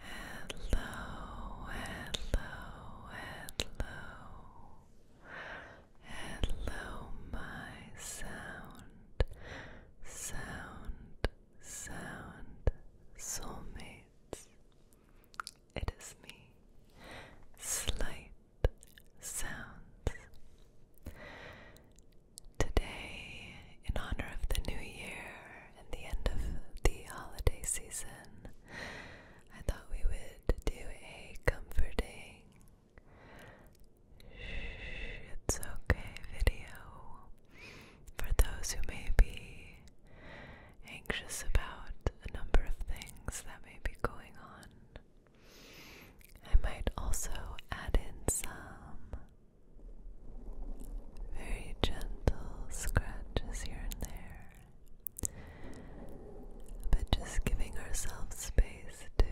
Hello, hello, hello, hello, my sound, sound, sound soulmates. It is me, Slight Sounds. Today, in honor of the new year, and the end of the holiday season, I thought we would do a comforting it's okay video for those who may be anxious about a number of things that may be going on. I might also add in some very gentle scratches here and there, but just giving ourselves space to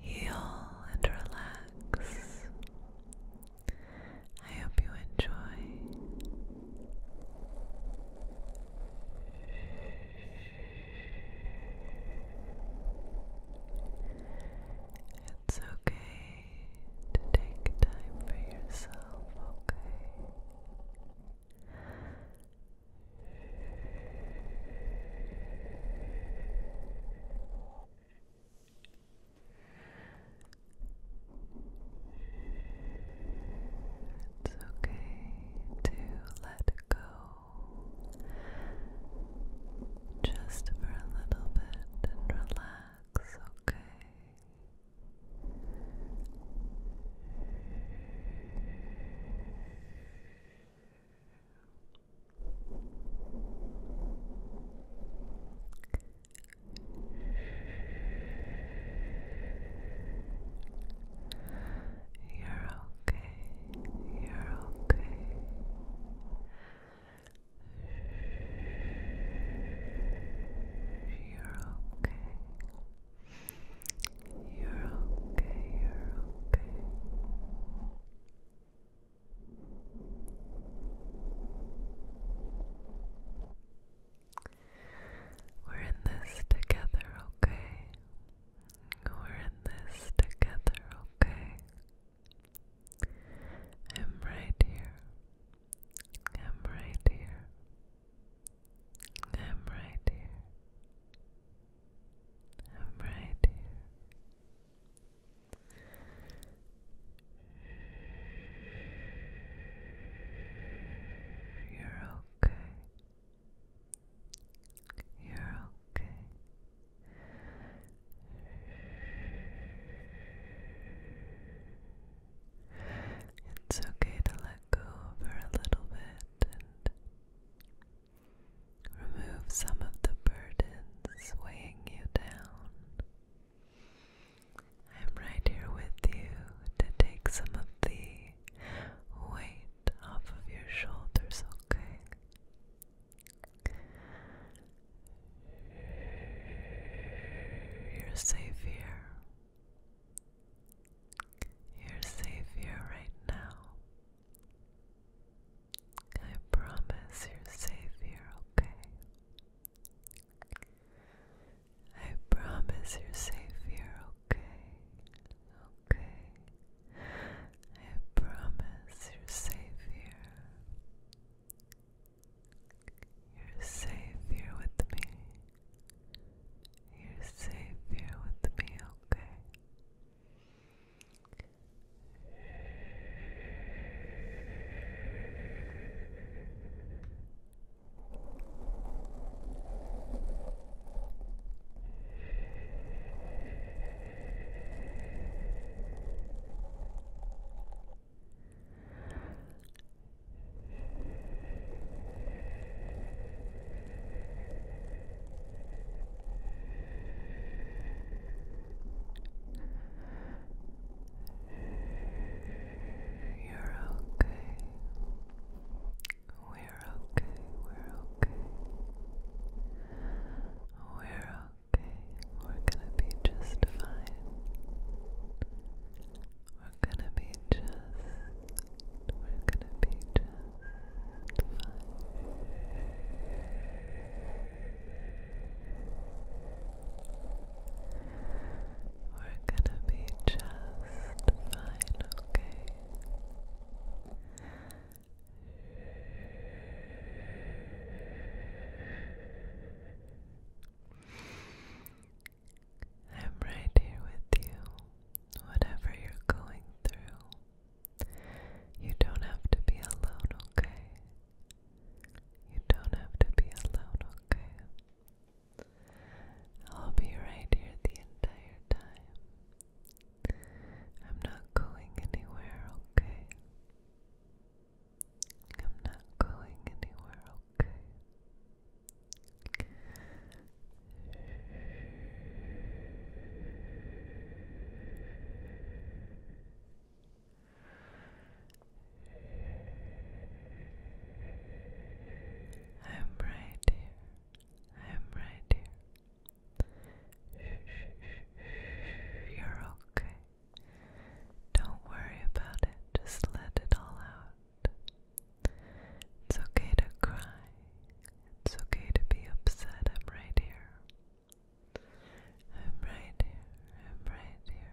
heal and relax. I hope you enjoy. It's okay to take time for yourself, okay? It's okay to let go just for a little bit and relax, okay? You're okay. You're okay. You're okay. You're okay. You're okay. We're in this together, okay? We're in this together, okay? I'm right here. I'm right here. I'm right here. I'm right here. You're okay. You're okay. It's okay to let go for a little bit and remove some of the burdens weighing you down. I'm right here with you to take some of the weight off of your shoulders, okay? You're safe here. You're safe here right now. I promise you're safe here, okay? I promise you're safe here, okay? Okay. I promise you're safe here. You're safe here with me. You're safe here with me, okay? You're okay. We're okay. We're okay. We're Okay, we're gonna be just fine. We're gonna be just, we're gonna be just fine. We're gonna be just fine, okay? I'm right here with you, whatever you're going through. You don't have to be alone, okay? You don't have to be alone, okay? I'll be right here the entire time. I'm not going anywhere, okay? I'm not going anywhere, okay? I'm right here. I'm right here. You're okay. Don't worry about it. Just let it all out. It's okay to cry. It's okay to be upset. I'm right here. I'm right here. I'm right here.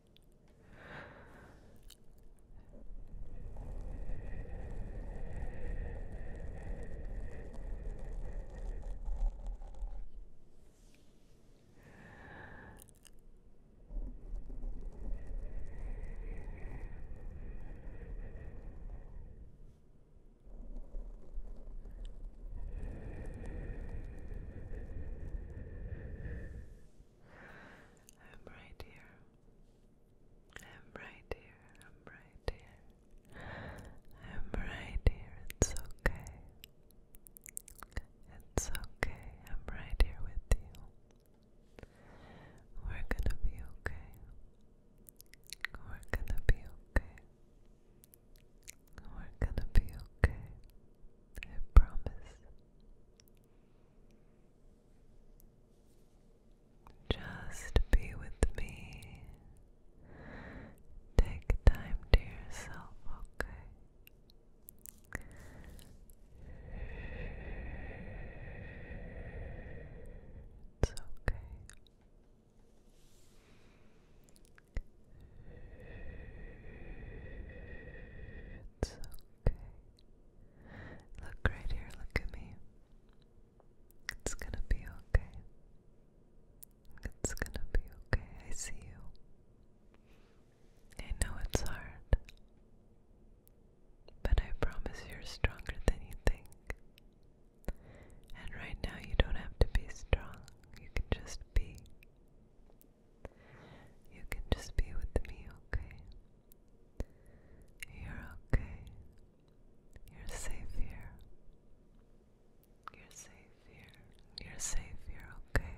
I'm right here. I'm right here. I'm right here. I'm right here. It's okay. It's okay. I'm right here with you. We're gonna be okay. We're gonna be okay. We're gonna be okay. I promise. Just be with me. Take time to yourself, okay? It's okay. It's okay. Look right here, look at me. It's gonna be okay. It's gonna be okay. I see you. I know it's hard, but I promise you're stronger than you think. And right now, you don't have to be strong, you can just be. You can just be with me, okay? You're okay. You're safe here. You're safe here. You're safe here, okay?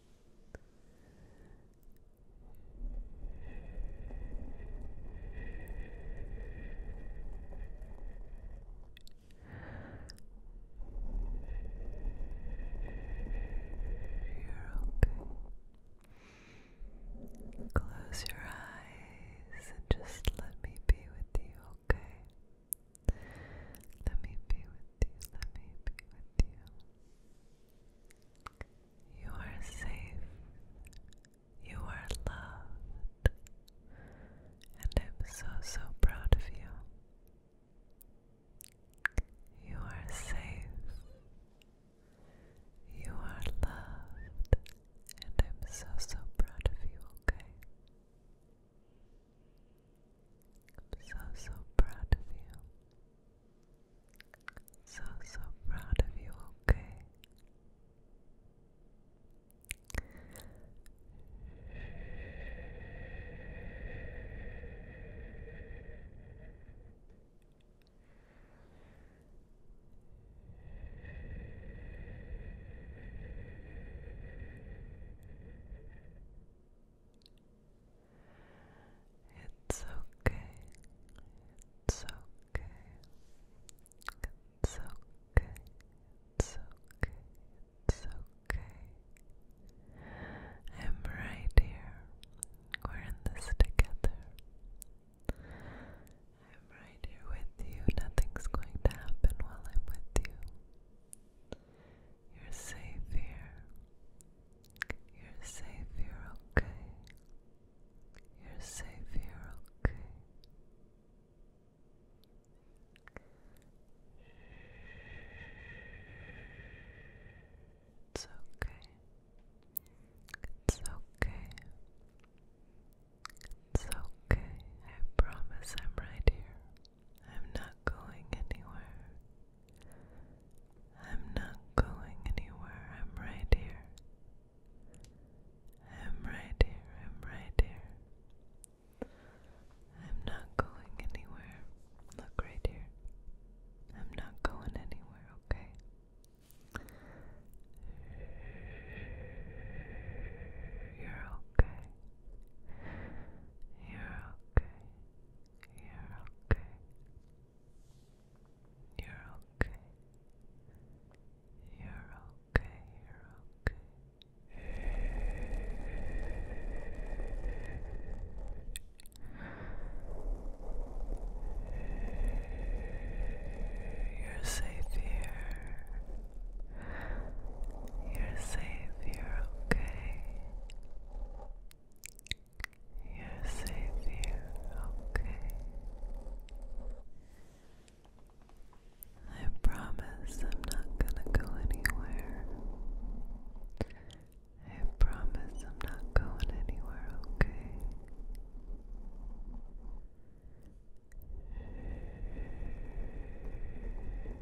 okay. Close your eyes and just let me be with you, okay? Let me be with you. Let me be with you. You are safe. You are loved. And I'm so, so proud of you. You are safe. You are loved. And I'm so, so proud of you, okay? so, so proud of you. So, so proud of you, okay? It's okay. It's okay. It's okay. It's okay. It's okay. I'm right here. We're in this together. I'm right here with you. Nothing's going to happen while I'm with you. You're safe here. You're safe here, okay? You're safe here, okay? It's okay. It's okay. It's okay. I promise I'm right here. I'm not going anywhere. I'm not going anywhere. I'm right here. I'm right here. I'm right here. I'm not going anywhere. Look right here. I'm not going anywhere, okay? You're okay. You're okay. You're okay. You're okay. You're okay. You're okay. You're safe here. You're safe, you're okay. You're safe, you're okay. I promise I'm not gonna go anywhere. I promise I'm not going anywhere, okay?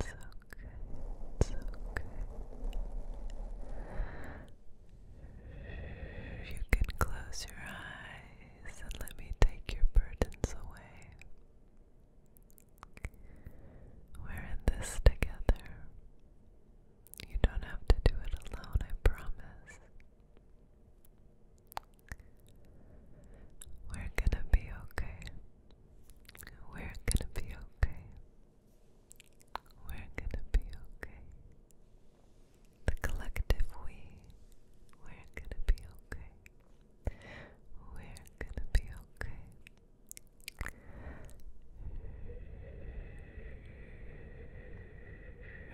It's okay. It's okay. You can close your eyes and let me take your burdens away. We're in this together. You don't have to do it alone, I promise. We're gonna be okay. We're gonna be okay. We're gonna be okay. The collective we, we're gonna be okay. We're gonna be okay.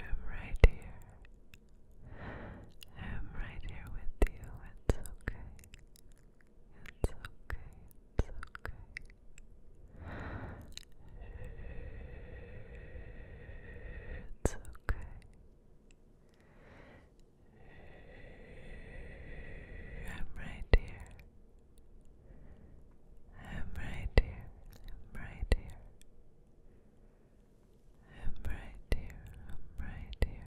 I'm right here. I'm right here with you. It's okay. It's okay, it's okay. It's okay. I'm right here. I'm right here. I'm right here. I'm right here. I'm right here.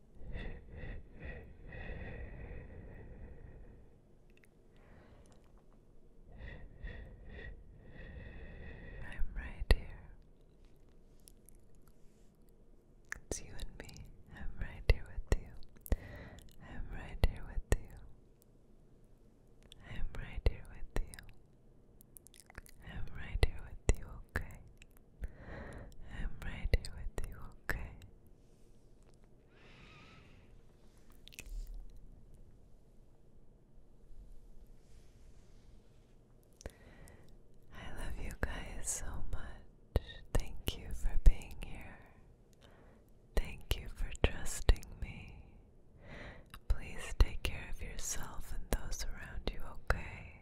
I'm right here. It's you and me. I'm right here with you. I'm right here with you. I'm right here with you. I'm right here with you, okay? I'm right with you, okay? I love you guys so much. Thank you for being here. Thank you for trusting me. Please take care of yourself and those around you, okay?